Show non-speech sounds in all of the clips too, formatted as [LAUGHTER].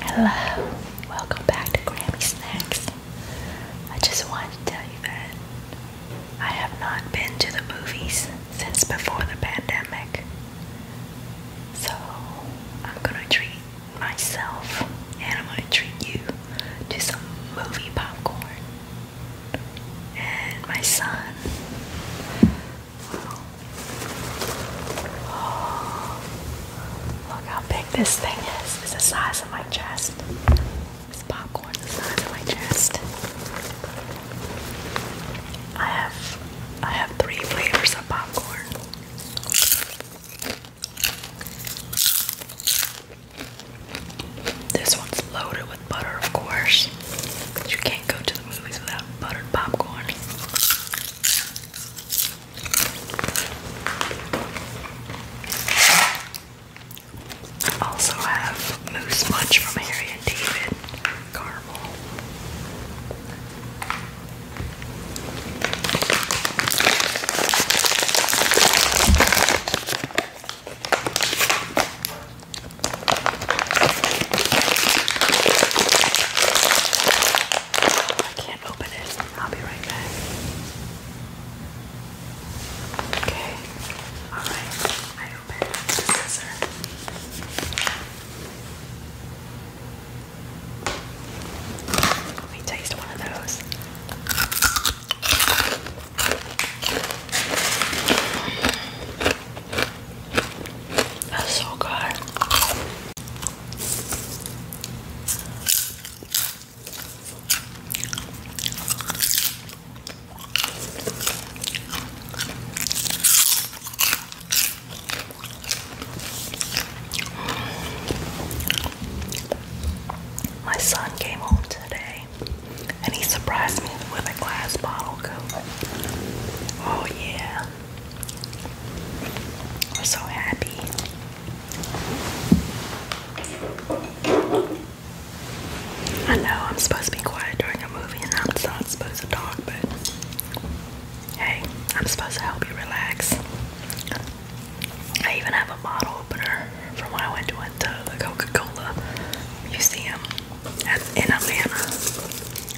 Hello, welcome back to Grammy Snacks. I just wanted to tell you that I have not been to the movies since before the pandemic. So I'm gonna treat myself and I'm gonna treat you to some movie popcorn. And my son [GASPS] look how big this thing is. It's the size of my chest. It's popcorn the size of my chest. I have I have three flavors of popcorn. This one's loaded with butter, of course. You can't go to the movies without buttered popcorn. Also have moose munch from Harry and David caramel. I can't open it. I'll be right back. Okay. Alright. I opened up the scissor. Let me taste one of those. That's so good. My son came home today and he surprised me with a glass bottle Oh, yeah. I'm so happy. I know I'm supposed to be quiet during a movie and I'm not supposed to talk, but hey, I'm supposed to help you relax. I even have a bottle opener from when I went to the Coca Cola Museum in Atlanta.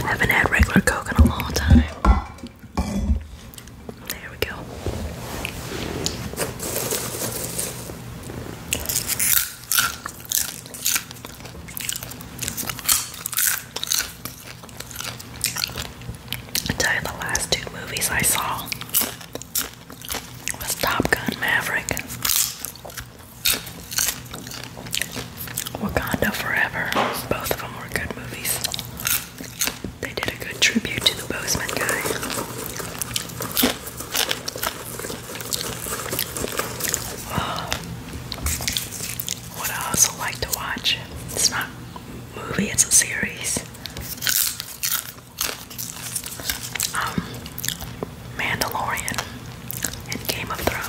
I haven't had regular Coke in a long time. There we go. I tell you, the last two movies I saw was Top Gun Maverick, Wakanda Forever. Both of them were good movies. They did a good tribute to the Bozeman guy. What I also like to watch, it's not a movie, it's a series. Um, Mandalorian and Game of Thrones.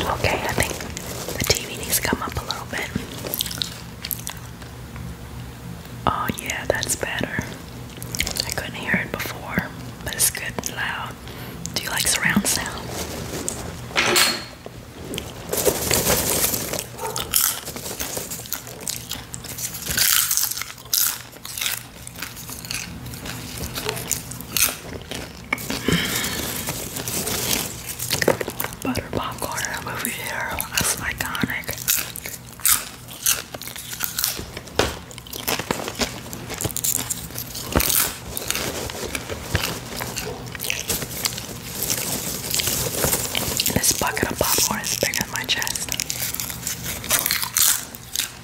Okay, I think the TV needs to come up a little bit. Oh, yeah, that's better. I couldn't hear it before, but it's good and loud. Do you like surround sound? Butter popcorn in a movie theater. That's iconic. This bucket of popcorn is bigger than my chest.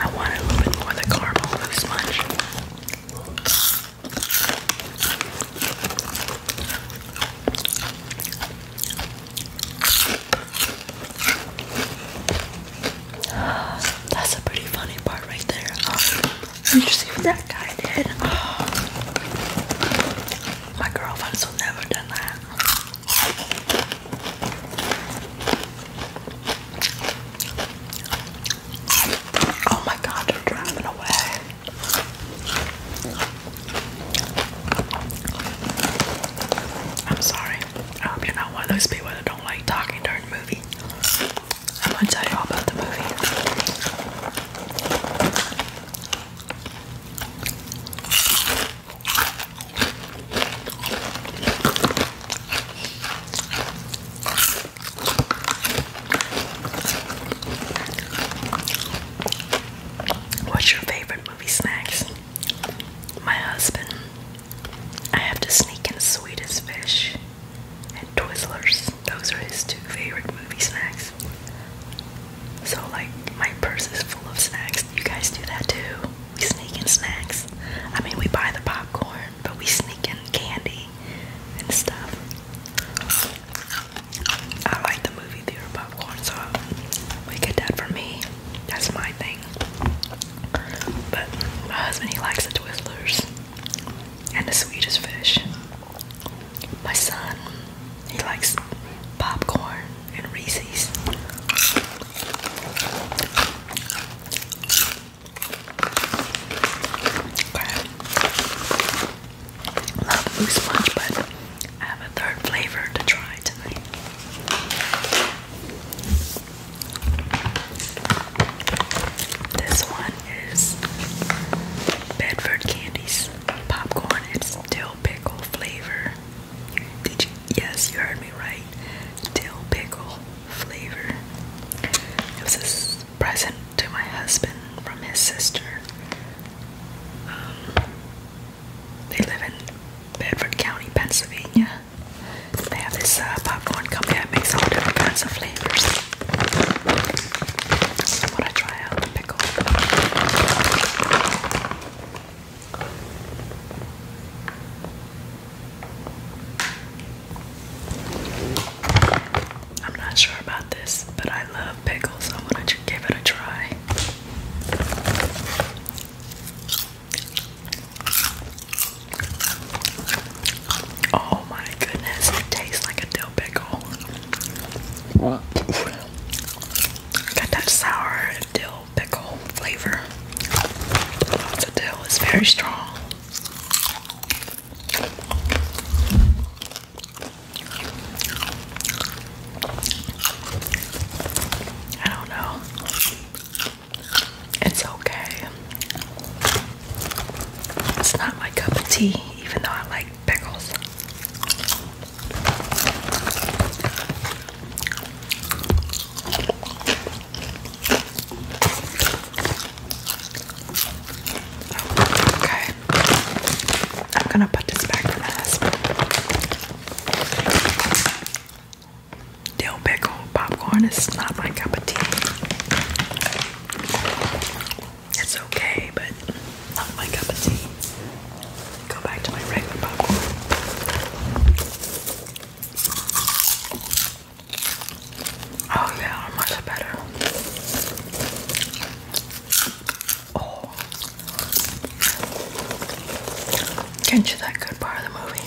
I want a little bit more of the caramel loose sponge. That's a pretty funny part right there. Did you see what that guy did? My girlfriends never done that. Oh my god, they're driving away. I'm sorry. I hope you're not one of those people that don't like talking during the movie. I'm gonna tell you all about the movie. What's your favorite movie snacks? My husband. I have to sneak in sweetest fish and Twizzlers. Those are his two favorite movie snacks. So like my purse is full of snacks. You guys do that too. We sneak in snacks. I mean we buy the popcorn, but we sneak in candy and stuff. I like the movie theater popcorn, so we get that for me. That's my thing. But my husband he likes the Twizzlers and the sweetest fish. My son, he likes popcorn and Reese's. Okay. Love blue sponge, but I have a third flavor to try tonight. This one is Bedford Candies popcorn. It's dill pickle flavor. Did you? Yes, you heard me right. Dill pickle flavor. It was a present to my husband from his sister. Um, they live in Bedford County, Pennsylvania. They have this uh, popcorn company that makes all different kinds of flavors. I'm to try out the pickle. I'm not sure about this, but I love pickles. So I'm gonna give it a try. Oh my goodness, it tastes like a dill pickle. What? Got that sour dill pickle flavor. The dill is very strong. I don't know. It's okay. It's not my cup of tea, even though I like pickles. Okay, I'm gonna put this back in the this. Dill pickle popcorn is not my cup of tea. It's okay, but not my cup of tea go back to my regular popcorn. Oh yeah, much better. Oh. Can't you that good part of the movie?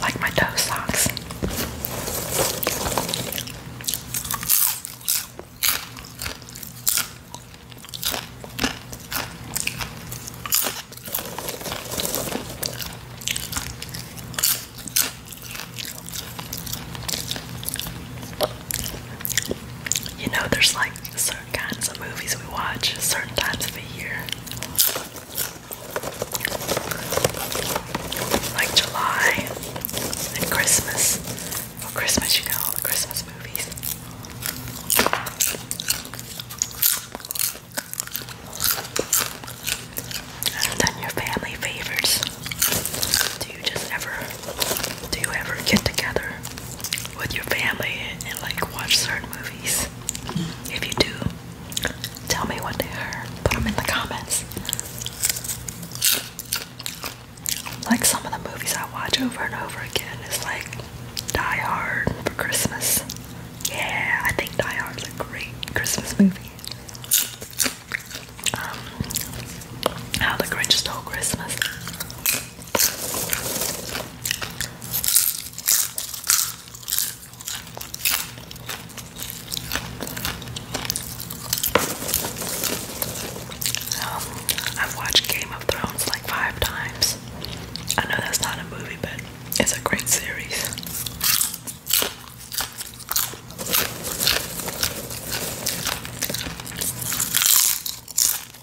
Like my toe socks. You know, there's like certain kinds of movies we watch certain times of the year like July and Christmas. For Christmas, you know, all the Christmas movies. And then your family favorites. Do you just ever, do you ever get together with your family and like watch certain movies? If you do, tell me what they are. Put them in the comments. Like some of the movies I watch over and over again is like Die Hard for Christmas. Yeah, I think Die Hard's a great Christmas movie. Um, How the Grinch Stole Christmas. I've watched Game of Thrones like five times. I know that's not a movie, but it's a great series.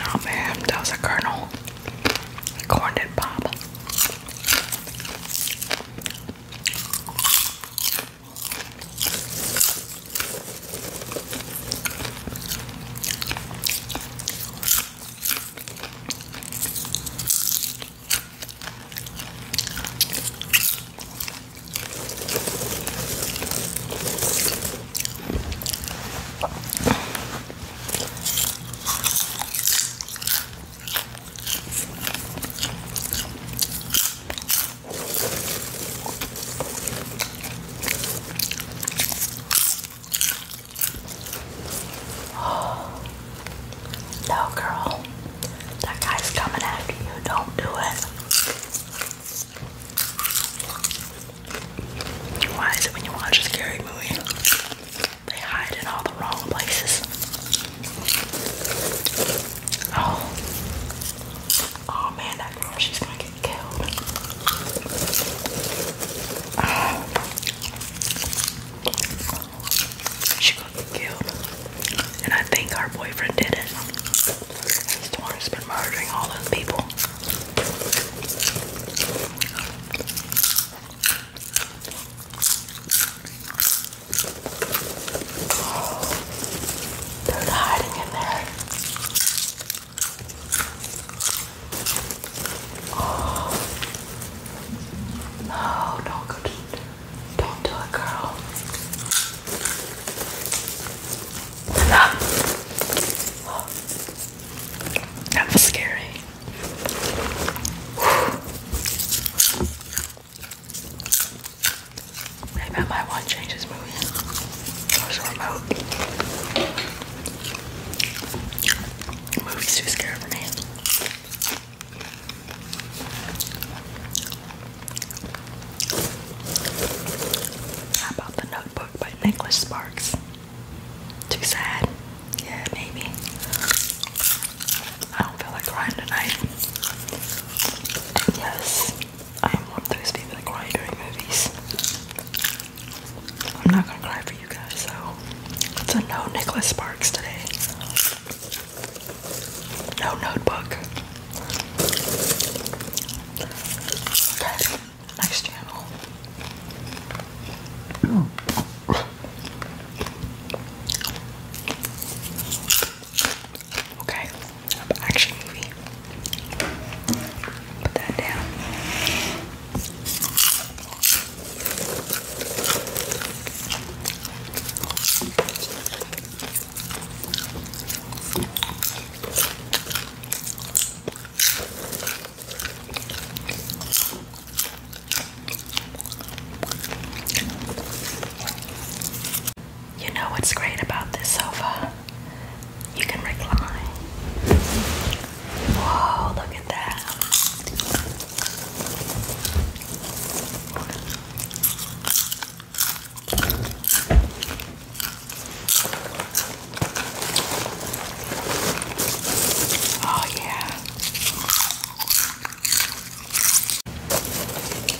Oh man, that was a kernel. Corned and pop. No, girl, that guy's coming after you. Don't do it. Why is it when you watch a scary movie, they hide in all the wrong places? Oh. Oh man, that girl, she's gonna get killed. she and I think our boyfriend did it. He's the has been murdering all those people. they're hiding in there. Oh. No, don't go to don't do it, girl. Enough. [SIGHS] that was scary. [SIGHS] Maybe I might want to remote. movie's too scary for me. How about The Notebook by Nicholas Sparks? Too sad? Yeah, maybe. I don't feel like crying tonight. Yes, I am one of those people that cry during movies. I'm not gonna cry for you guys, so it's a no Nicholas Sparks today. No notebook. Okay, next channel. Okay, action movie. Put that down. You know what's great about this sofa? You can recline. Whoa, look at that. Oh, yeah.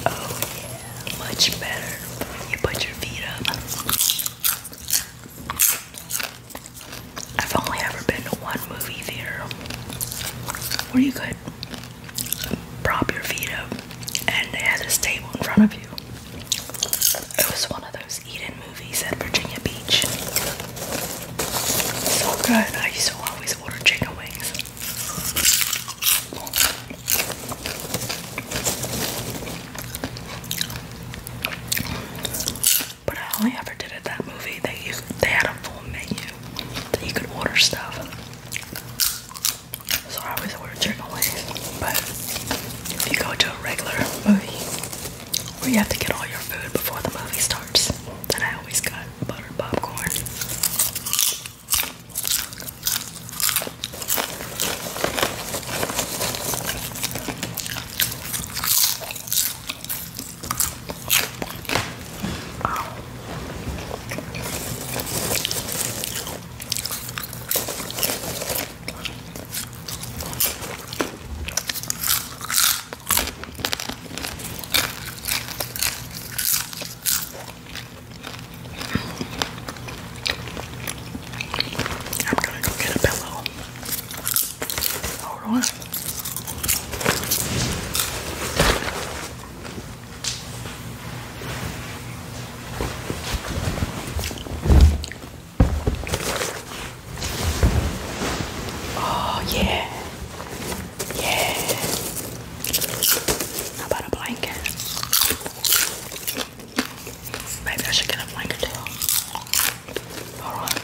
Oh, yeah. Much better. You put your feet up. I've only ever been to one movie theater where you could prop your feet up, and they had this table in front of you. It was one of those eat-in movies at Virginia Beach. So good. I used to always order chicken wings. But I only ever did it that movie. They they had a full menu that you could order stuff. So I always order chicken wings. But if you go to a regular movie where you have to get all your food before the movie starts, then I always got buttered popcorn. I'm gonna go get a pillow. Hold on. Oh, yeah. Yeah. How about a blanket? Maybe I should get a blanket too. Alright.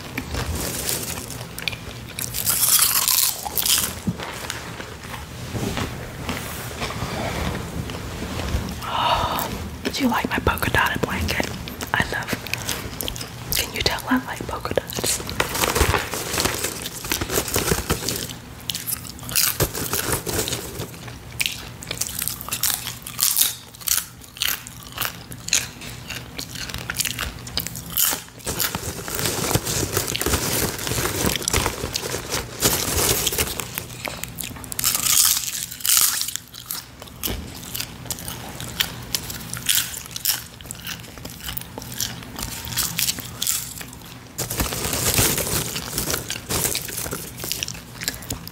Do you like my polka dotted blanket? I love. Can you tell I like polka dots?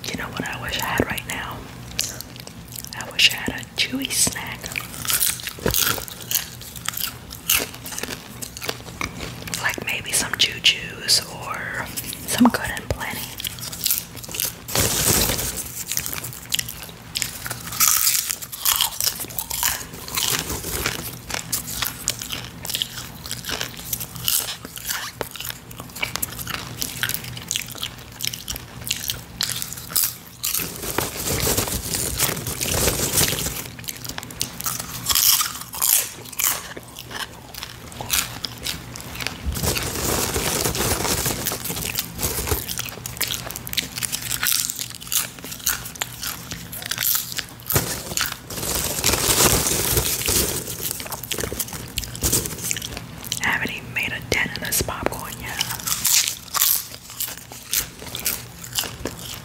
You know what I wish I had right now? I wish I had a chewy snack. Like maybe some jujus or some good and plenty. I haven't even made a dent in this popcorn yet.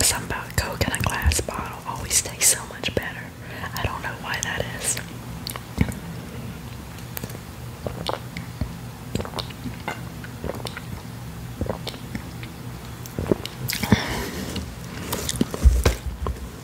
something about Coke in a glass bottle always tastes so much better. I don't know why that is.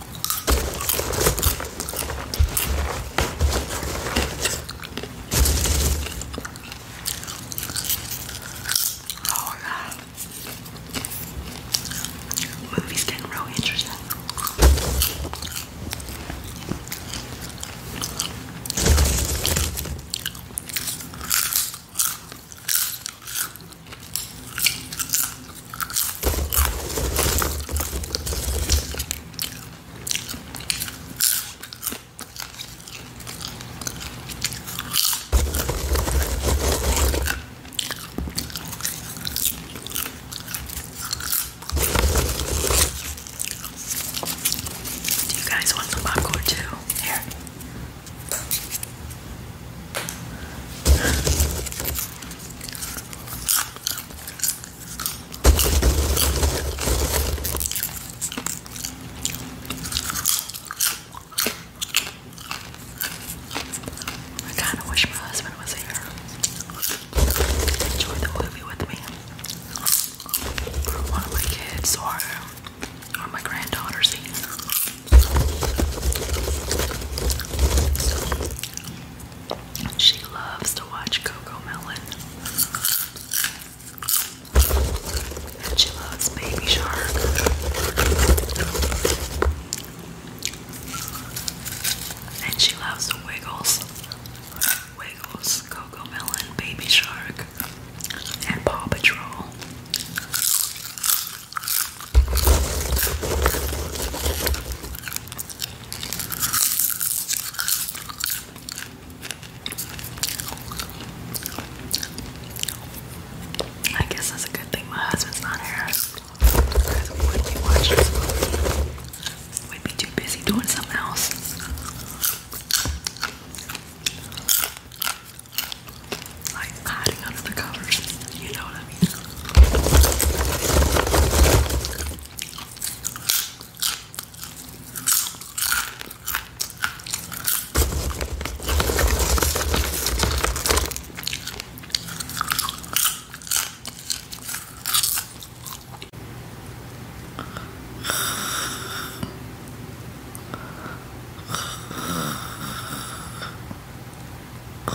Oh god. Movie's getting real interesting. Do you guys want some popcorn too? Here. I kind of wish my husband was here. Enjoy the movie with me. One of my kids or, or my granddaughters she loves to watch Coco Melon. she loves Baby Shark. And she loves the Wiggles. Wiggles, Coco Melon, Baby Shark, and Paw Patrol. I guess that's a good thing my husband's not here. we'd be too busy doing something else like hiding under the covers. You know what I mean? I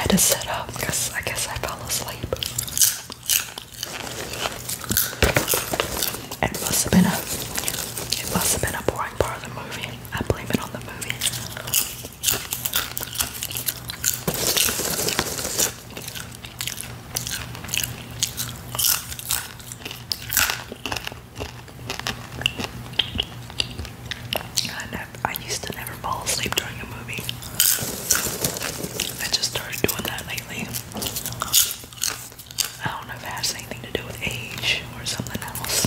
had to sit up because I guess I fell asleep. It must have been a it must have been a boring part of the movie. I blame it on the movie. I used to never fall asleep during a movie. I just started doing that lately. I don't know if it has anything to do with age or something else.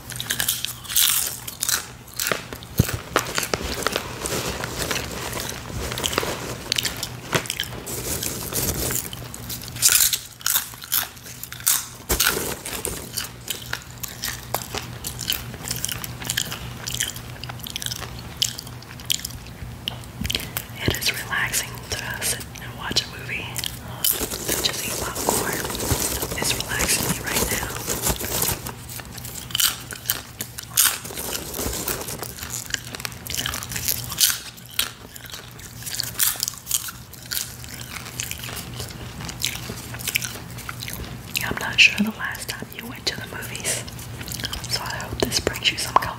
It is relaxing to us and watch a movie. Just eat popcorn. It's relaxing me right now. I'm not sure the last time you went to the movies, so I hope this brings you some comfort.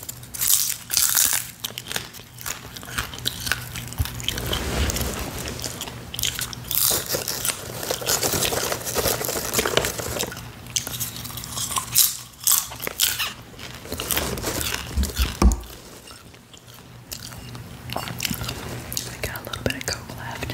I got a little bit of coke left.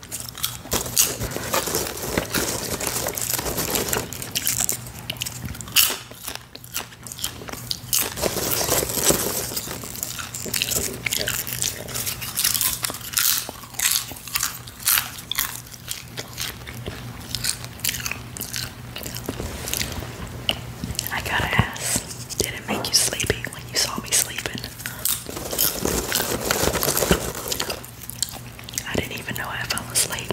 I gotta ask, did it make you sleepy when you saw me sleeping? I didn't even know I fell asleep.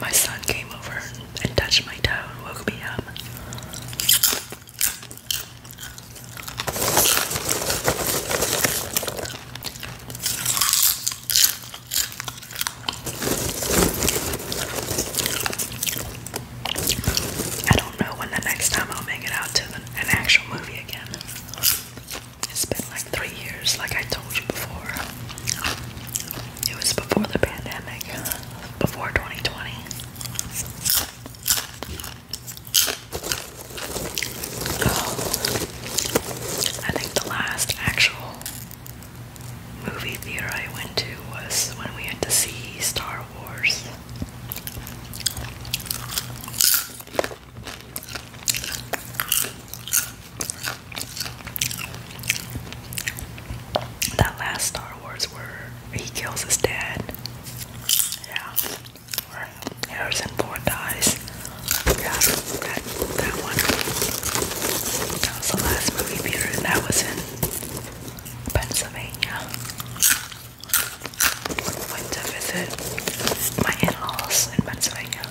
My son came over and touched my toe and woke me up. I don't know when the next time I'll make it out to an actual movie again. It's been like three years, like I told you before. It was before the pandemic, before 2020. I think the last actual movie theater I went to was when we had to see Star Wars. That last Star Wars where he kills his dad. Yeah. Harrison Ford dies. Yeah, that, that one. That was the last movie theater and that was in Pennsylvania. Went to visit my in-laws in Pennsylvania.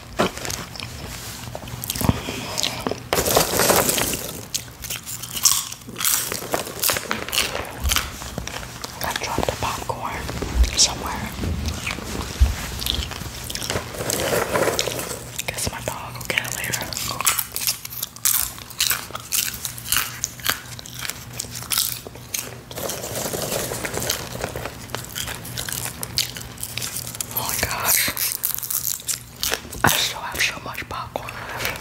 I dropped the popcorn somewhere. Guess my dog will get it later. Oh my gosh. I still have so much popcorn left.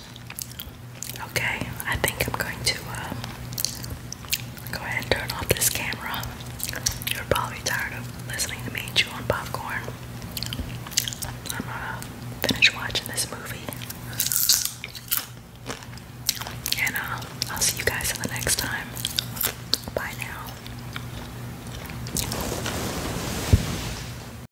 Okay, I think I'm going to uh, go ahead and turn off this camera. You're probably tired of listening to me chew popcorn. I'm gonna finish watching this movie. And uh, I'll see you guys in the next time. Bye now.